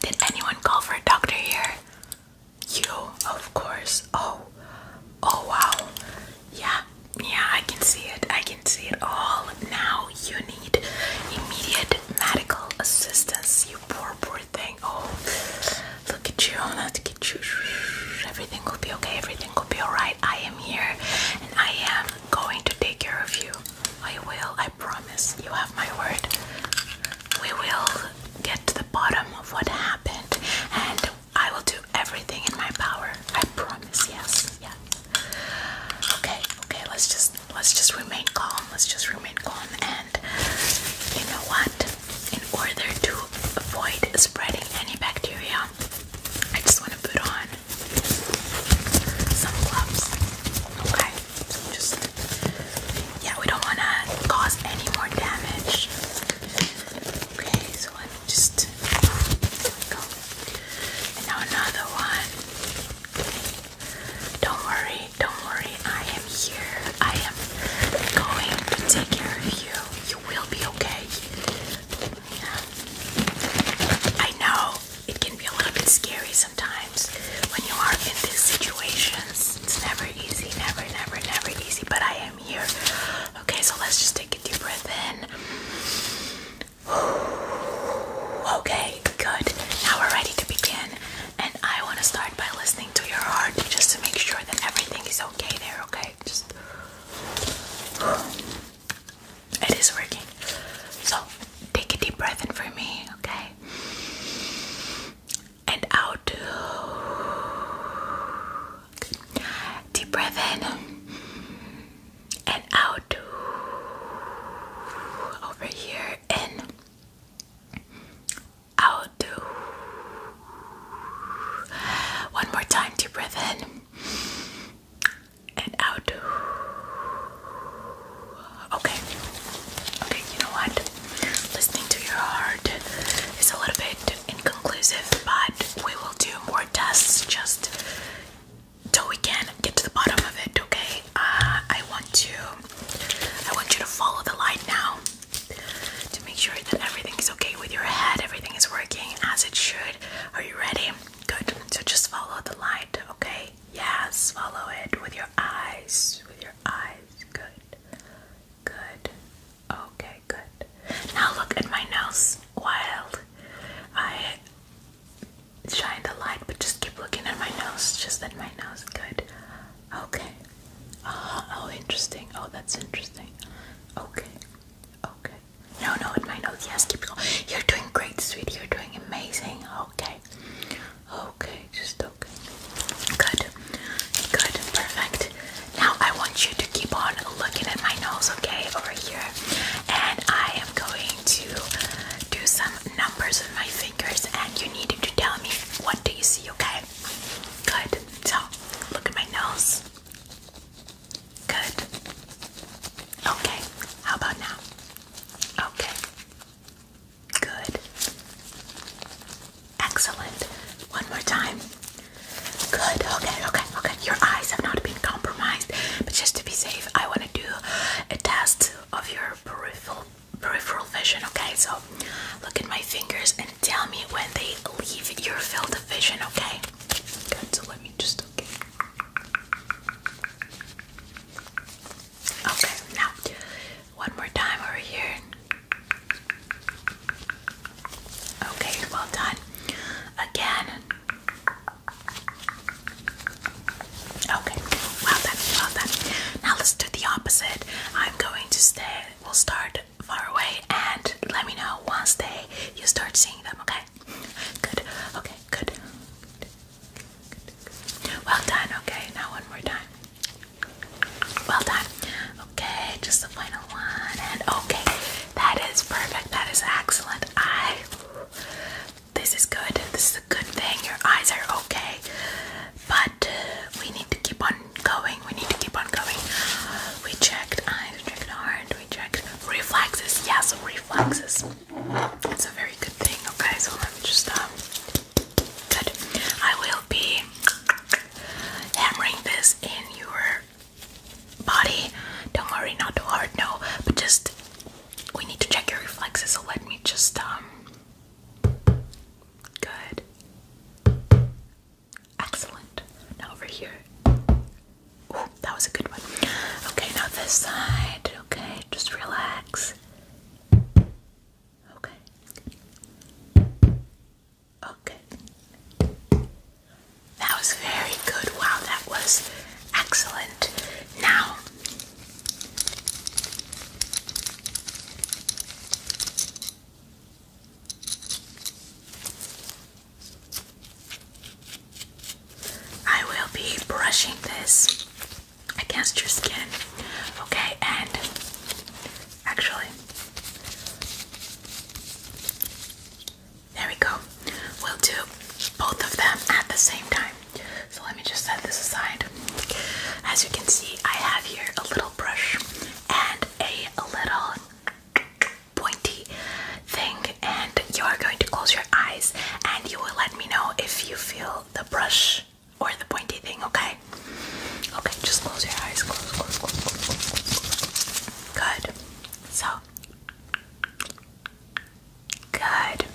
Did anyone call for a doctor here? You, of course. Oh, oh wow. Yeah, yeah, I can see it. I can see it all. Now you need immediate medical assistance, you poor, poor thing. Oh, look at you. Look at you. Everything will be okay. Everything will be alright. I am here and I am going to take care of you. I will. I promise. You have my word. We will get to the bottom of what happened and I will do everything in my power. I promise. Yes. Yes. Okay. Okay. Let's just let's just remain calm. Let's just remain calm and you know what? In order to avoid spreading any bacteria, I just want to put on some gloves. Okay. just yeah, we don't want to cause any more damage. Okay, so let me just go. And now another one. Don't worry, don't worry. I am here. I am going to take care of you. You will be okay. Yeah. I know it can be a little bit scary sometimes when you are in these situations. It's never easy, never, never, never easy, but I am here. Okay, so let's just take a deep breath in. Okay, good. Now we're ready to begin. And I want to start by listening to your heart just to make sure that everything is okay there, okay? Just. It is working. So, take a deep breath in for me, okay? And out. Good. Deep breath in and out. Over here in. Out. One more time. Deep breath in and out. Okay. Okay, you know what? Listening to your heart is a little bit inconclusive, but we will do more tests just till we can get to the bottom of it, okay? Uh, I want to I want you to follow the light now to make sure that everything is okay with your head, everything is working as it should. Are you ready? Good. So just follow the light, okay? yeah, swallow it with your eyes. With your eyes. Good. Good. Okay, good. Now look at my nose. Wild. I shine the light, but just keep looking at my nose. Just at my nose. Good. Okay. Uh-huh. oh, interesting. Oh, that's interesting. Okay. Okay. No, no, at my nose. Yes, keep going. You're doing great, sweetie. You're doing amazing. Okay. Okay, just okay. Good, good, perfect. Now I want you to keep on looking at my nose, okay, over here. And I am going to do some numbers with my fingers, and you need to tell me what do you see, okay? Good. So look at my nose. Good. Okay. How about now? Okay. Good. Excellent. One more time. Good. Okay, okay, okay. Your eyes have not been compromised, but just to be safe, I want to do a test of your peripheral peripheral vision, okay? So, look at my fingers and tell me when they leave your field of vision, okay? Good. So, let me just okay. Okay, now one more time over here. Okay, well done. Again. Okay, well done, well done. Now let's do the opposite. I'm going to stay, we'll start far away and let me know once they you start seeing them, okay? Good, okay, good. Well done, okay, now one more time. Well done. Okay, just the final one, and okay, that is perfect, that is excellent. I, this is good, this is a good thing, your eyes are okay, but uh, we need to keep on going, we need to keep on going. We checked eyes, we checked heart, we checked reflexes, yes, reflexes. It's a very good thing, okay? So let me just, um, good. I will be hammering this in your body. Don't worry, not too hard, no. But just, we need to check your reflexes, so let me just, um, good. Excellent. Now over here. Ooh, that was a good one. Okay, now this side okay? Just relax. Okay. Okay. That was very good. Wow, that was excellent. Now, I will be brushing this against your skin, okay? And actually, there we go. We'll do both of them at the same time. So let me just set this aside. As you can see, I have here a little brush and a little pointy thing brushing and you are going to close your eyes and you will let me know if you feel the brush or the pointy thing, okay? Okay, just close your eyes. Close, close, close, close, close. Good. So. Good.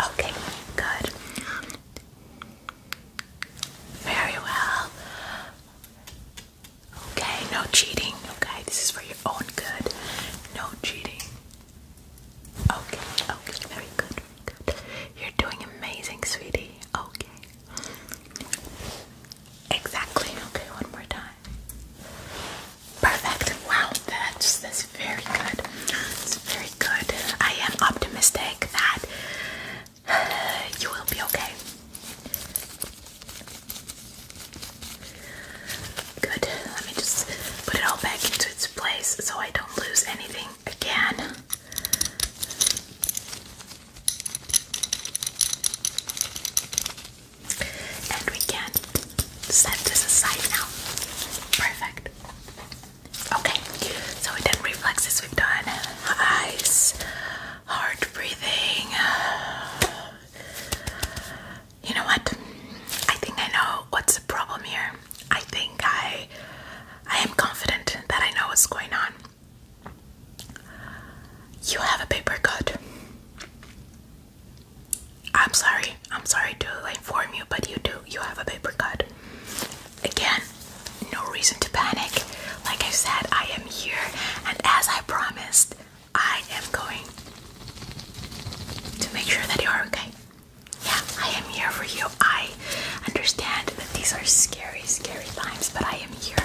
Okay, good. Very well. Okay, no cheating. Okay, this is for your own good. No cheating. Okay, okay, very good, You're doing amazing, sweetie. Okay. Exactly. Okay, one more time. Perfect. Wow, that's that's very good. It's very good. I am optimistic that you will be okay. Good. Let me just put it all back into its place so I don't lose anything again. And we can set this aside now. Perfect. Okay, so we reflexes, we've done eyes, heart breathing, you know what? I think I know what's the problem here. I think I I am confident that I know what's going on. You have a paper cut. I'm sorry. I'm sorry to inform you, but you do. You have a paper cut. Again, no reason to panic. Like I said, I am here, and as I promised, I am going to make sure that you are okay. Yeah, I am here for you. I understand that these are scary, scary times, but I am here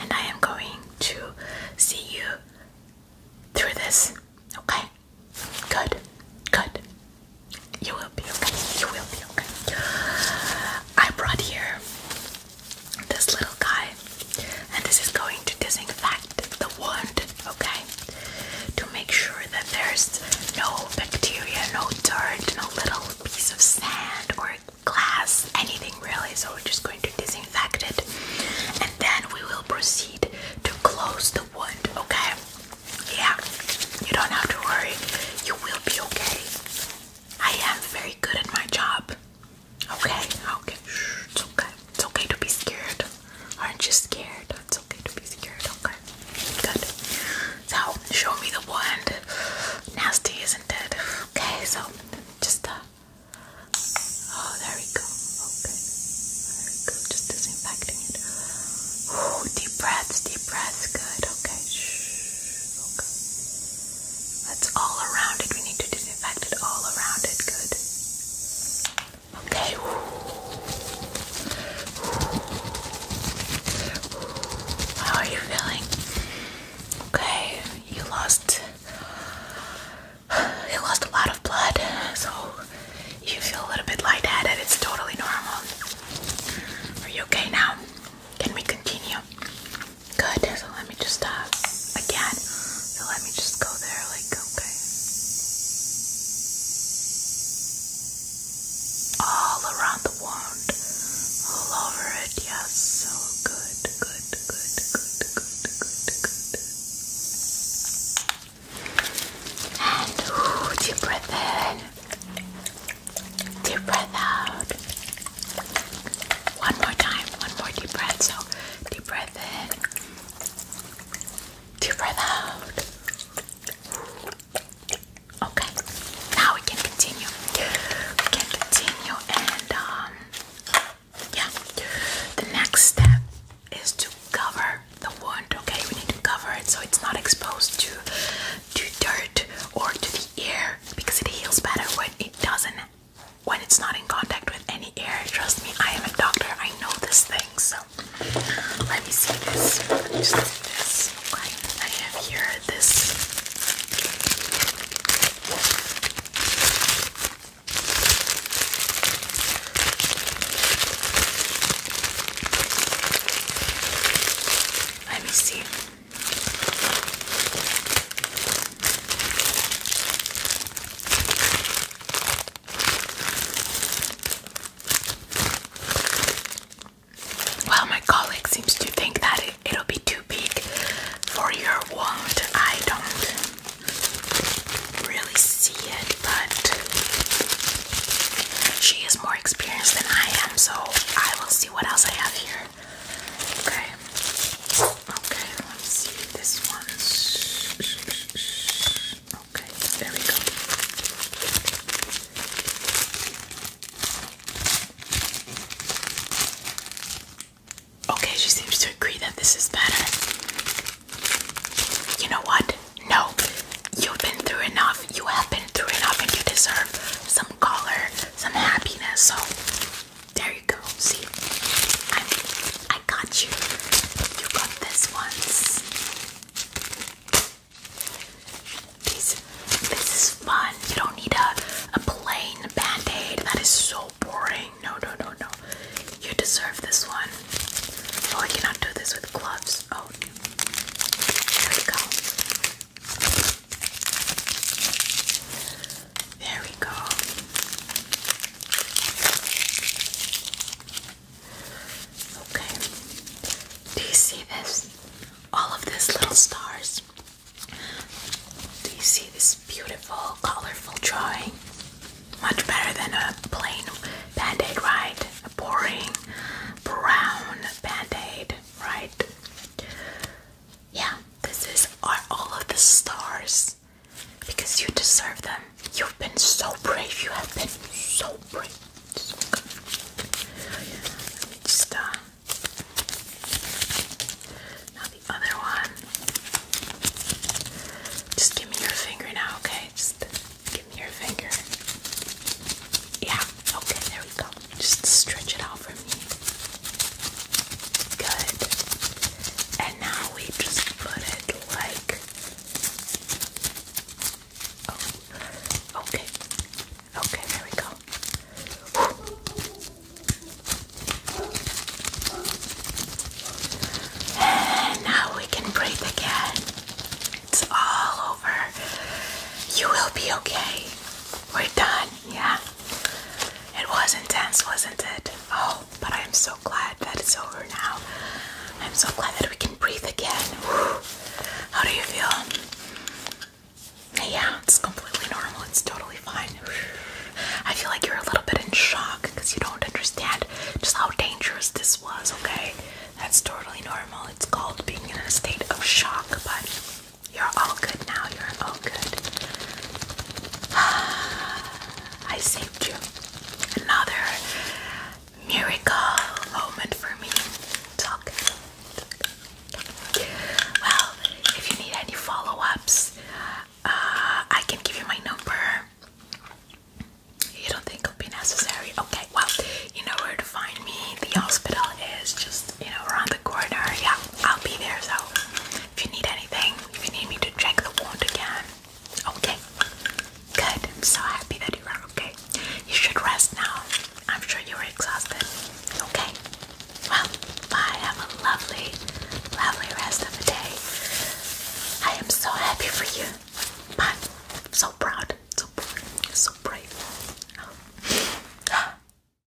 and I am going to see you through this. Okay? Good. Good. You will be okay. You will be okay. I brought here this little guy, and this is going to disinfect the wound, okay? To make sure that there's no bacteria, no dirt, no little piece of sand or glass, anything really. So, we're just going to disinfect it, and then we will proceed to close the wound, okay? Yeah, you don't have to worry, you will be okay. I am very good at my job. Okay, okay. it's okay. It's okay to be scared. Aren't you scared? It's okay to be scared. Okay. Good. So, show me the wand. Nasty, isn't it? Okay, so just uh Oh, there we go. Okay. Just disinfecting it. Ooh, deep breaths, deep breaths. Good. Okay. Shh. Okay. That's all around it. We need to disinfect it all around it. Good. Okay. How are you feeling? Okay, you lost. You lost a lot of blood, so you feel a little bit lightheaded. It's totally normal. Are you okay now? Can we continue? Good. So let me just uh again. let me just go there like okay. All around the wound. All over it, yes. So good, good, good, good, good, good, And deep breath in. Deep breath out. One more time, one more deep breath. So deep breath in, deep breath out. Okay, now we can continue. We can continue, and um, yeah, the next step is to cover the wound. Okay, we need to cover it so it's not exposed to to dirt or to the air because it heals better when it doesn't when it's not in contact with any air. Trust me, I am a doctor. I know this thing. So let me see this. Let me see this. I have here this. Let me see. Well, my colleague seems to think that it, will be too big for your wand. I don't really see it, but she is more experienced than I am, so I will see what else I have here. Okay. Okay, let's see this one. Okay, there we go. Okay, she seems to agree that this is better. You know what? No, you've been through enough. You have been through enough, and you deserve some color, some happiness. So there you go. See, i I got you. You got this once. This, this is fun. You don't need a a plain band aid. That is so boring. No, no, no, no. You deserve this one. Oh, I cannot do this with gloves. Oh, here we go. There we go. Okay. Do you see this? All of these little stars. Do you see this beautiful, colorful drawing? Much better than a plain band right? A boring brown band right? Yeah, this is are all of the stars because you deserve them. You've been so brave. You have been so brave. just uh, now the other one. Just give me your finger now, okay? Just give me your finger. Yeah. Okay. There we go. Just stretch it out for Good. And now we just put it like. Oh, okay. Okay, there we go. And now we can breathe again. It's all over. You will be okay. We're done. Yeah, it was intense, wasn't it? Oh, but I'm so glad that it's over now. I'm so glad that we can breathe again. How do you feel? Yeah, it's completely normal. It's totally fine. I feel like you're a little bit in shock because you don't understand just how dangerous this was, okay? That's totally normal. It's called being in a state of shock, but you're all good now. You're all good. I saved you. Another miracle moment for me. Talk. Well, if you need any follow ups, uh, I can give you my number. You don't think it'll be necessary? Okay, well, you know where to find me. The hospital is just, you know, around the corner. Yeah, I'll be there, so if you need anything, if you need me to check the wound again, okay. Good. I'm so happy that you are okay. You should rest now. I'm sure you are exhausted. Okay. Well, bye. Have a lovely, lovely rest of the day. I am so happy for you. Bye. so proud. So brave.